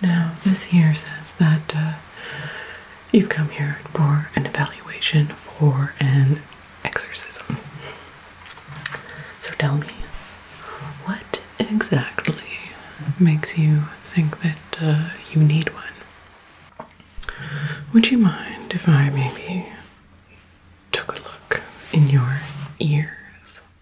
Now, this here says that uh, you've come here for an evaluation for an exorcism. So tell me, what exactly makes you think that uh, you need one? Would you mind if I maybe took a look in your ears?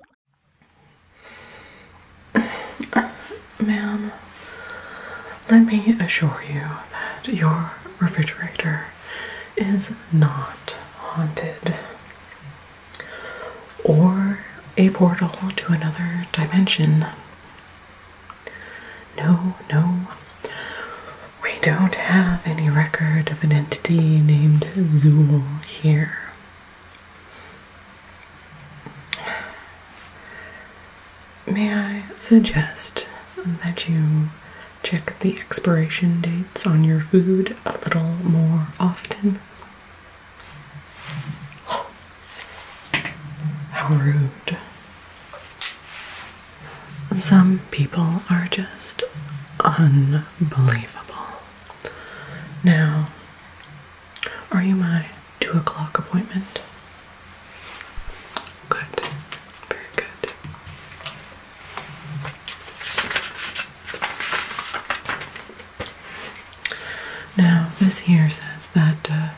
Ma'am, let me assure you that your refrigerator is not haunted or a portal to another dimension. No, no. We don't have any record of an entity named Zool here. May I suggest that you check the expiration dates on your food a little more often? how rude. Some people are just unbelievable. Now, are you my two o'clock appointment? Good, very good. Now, this here says that uh,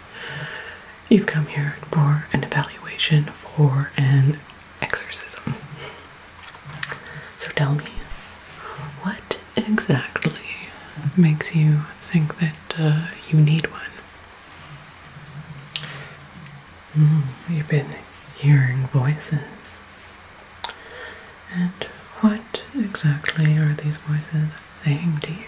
you've come here for an evaluation for an exorcism. So tell me, what exactly makes you think that uh, you need one? Hmm, you've been hearing voices. And what exactly are these voices saying to you?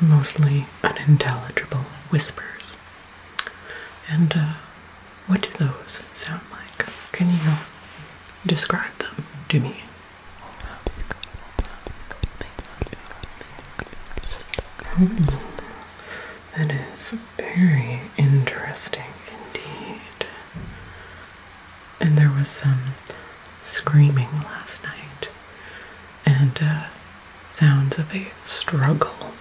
Mostly unintelligible whispers. And uh, what do those sound like? Can you describe them to me? Hmm. That is very interesting indeed and there was some screaming last night and uh, sounds of a struggle.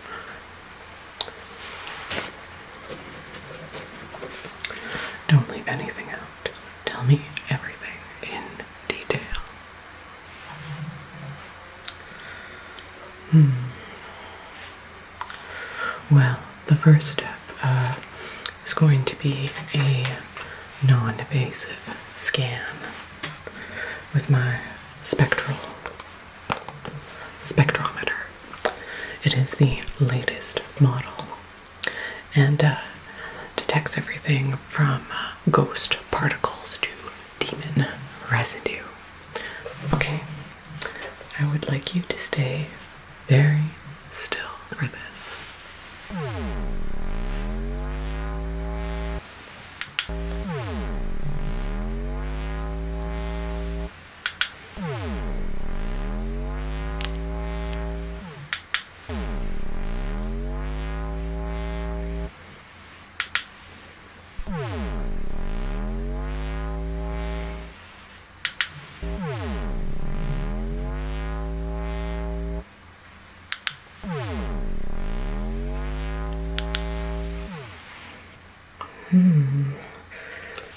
Don't leave anything out. Tell me everything in detail. Hmm. Well, the first step uh, it's going to be a non-invasive scan with my spectral spectrometer. It is the latest model and uh, detects everything from uh, ghost particles to demon residue. Okay, I would like you to stay very still for this. Hmm.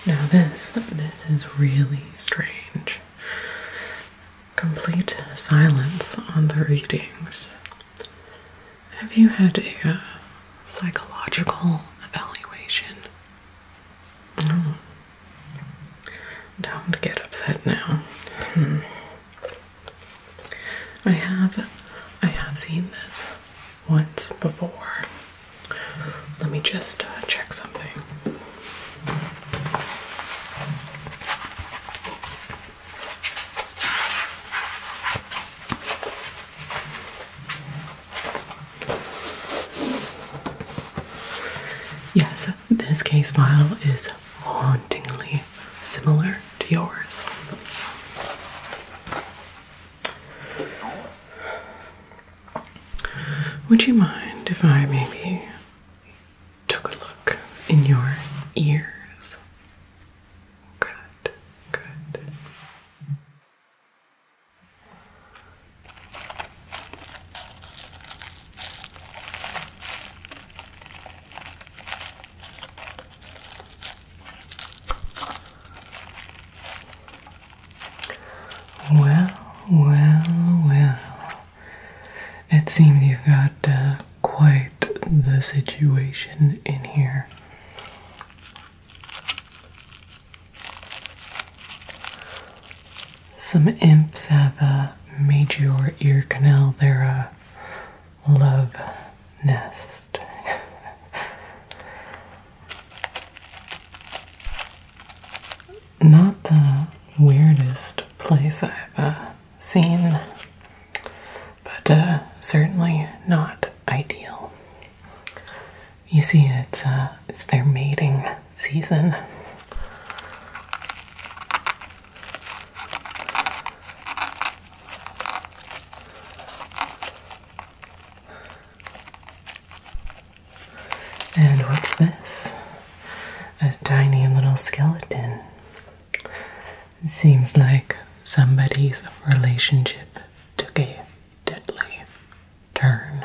Now this this is really strange. Complete silence on the readings. Have you had a, a uh, psychological evaluation? Mm. Don't get upset now. Hmm. I have I have seen this once before. Let me just uh, check something. Yes, this case file is hauntingly similar to yours. Would you mind if I maybe took a look in your ears? Good, good. Well, well, well. It seems you've got uh, quite the situation in here. Some imps have a major ear canal They're a love nest. Not the weirdest place I've uh, seen, but uh, certainly not ideal. You see, uh, it's their mating season. And what's this? A tiny little skeleton. Seems like somebody's relationship took a deadly turn.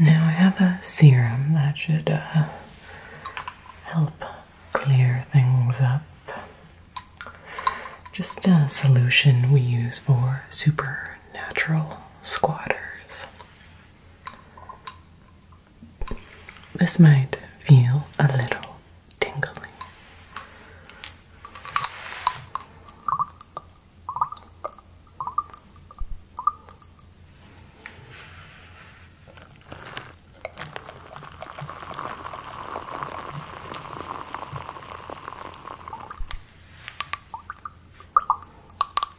Now I have a serum that should uh, help clear things up. Just a solution we use for supernatural squatters. This might feel a little tingling.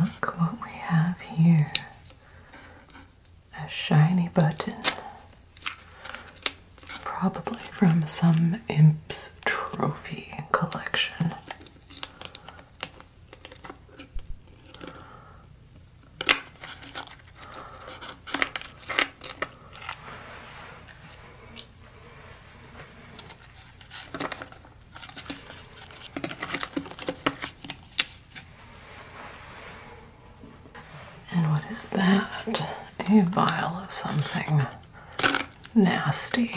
Look what we have here. A shiny button. Probably from some imp's trophy collection. And what is that? A vial of something nasty.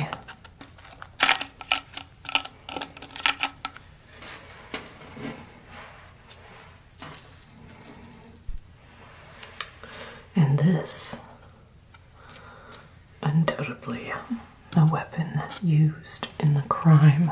And this, undoubtedly, a weapon used in the crime.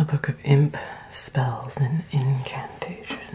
A book of imp spells and incantations.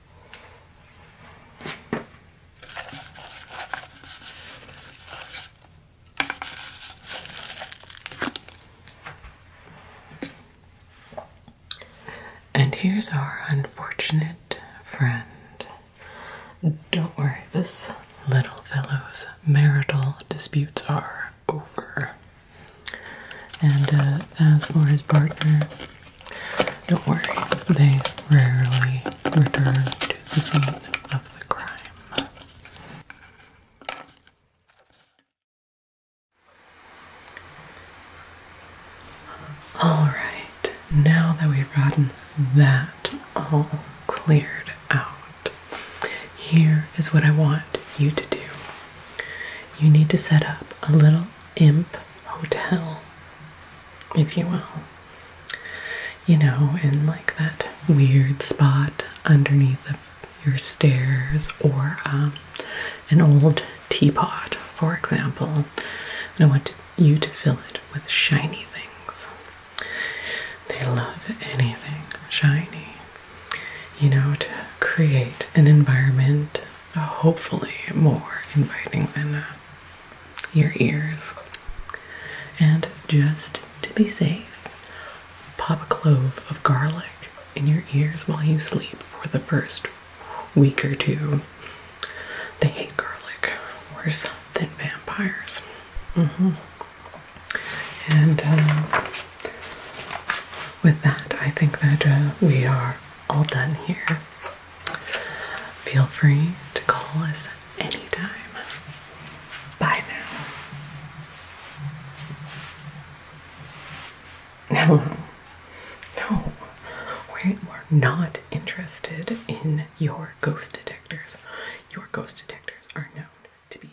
And here's our unfortunate friend. Don't worry, this little fellow's marital disputes are over. And uh, as for his partner, don't worry, they rarely return to the scene of the crime. Alright, now that we've gotten that all cleared out, here is what I want you to do. You need to set up a little imp hotel, if you will. You know, in like that weird spot underneath your stairs, or um, an old teapot, for example. I want you to fill it with shiny things. They love anything shiny. You know, to create an environment hopefully more inviting than uh, your ears. And just to be safe, pop a clove of garlic in your ears while you sleep for the first week or two. They hate garlic, worse than vampires. Mm-hmm. And uh, with that, I think that uh, we are all done here. Feel free to call us anytime. Bye now. No, no, we are not interested in your ghost detectors. Your ghost detectors are known to be.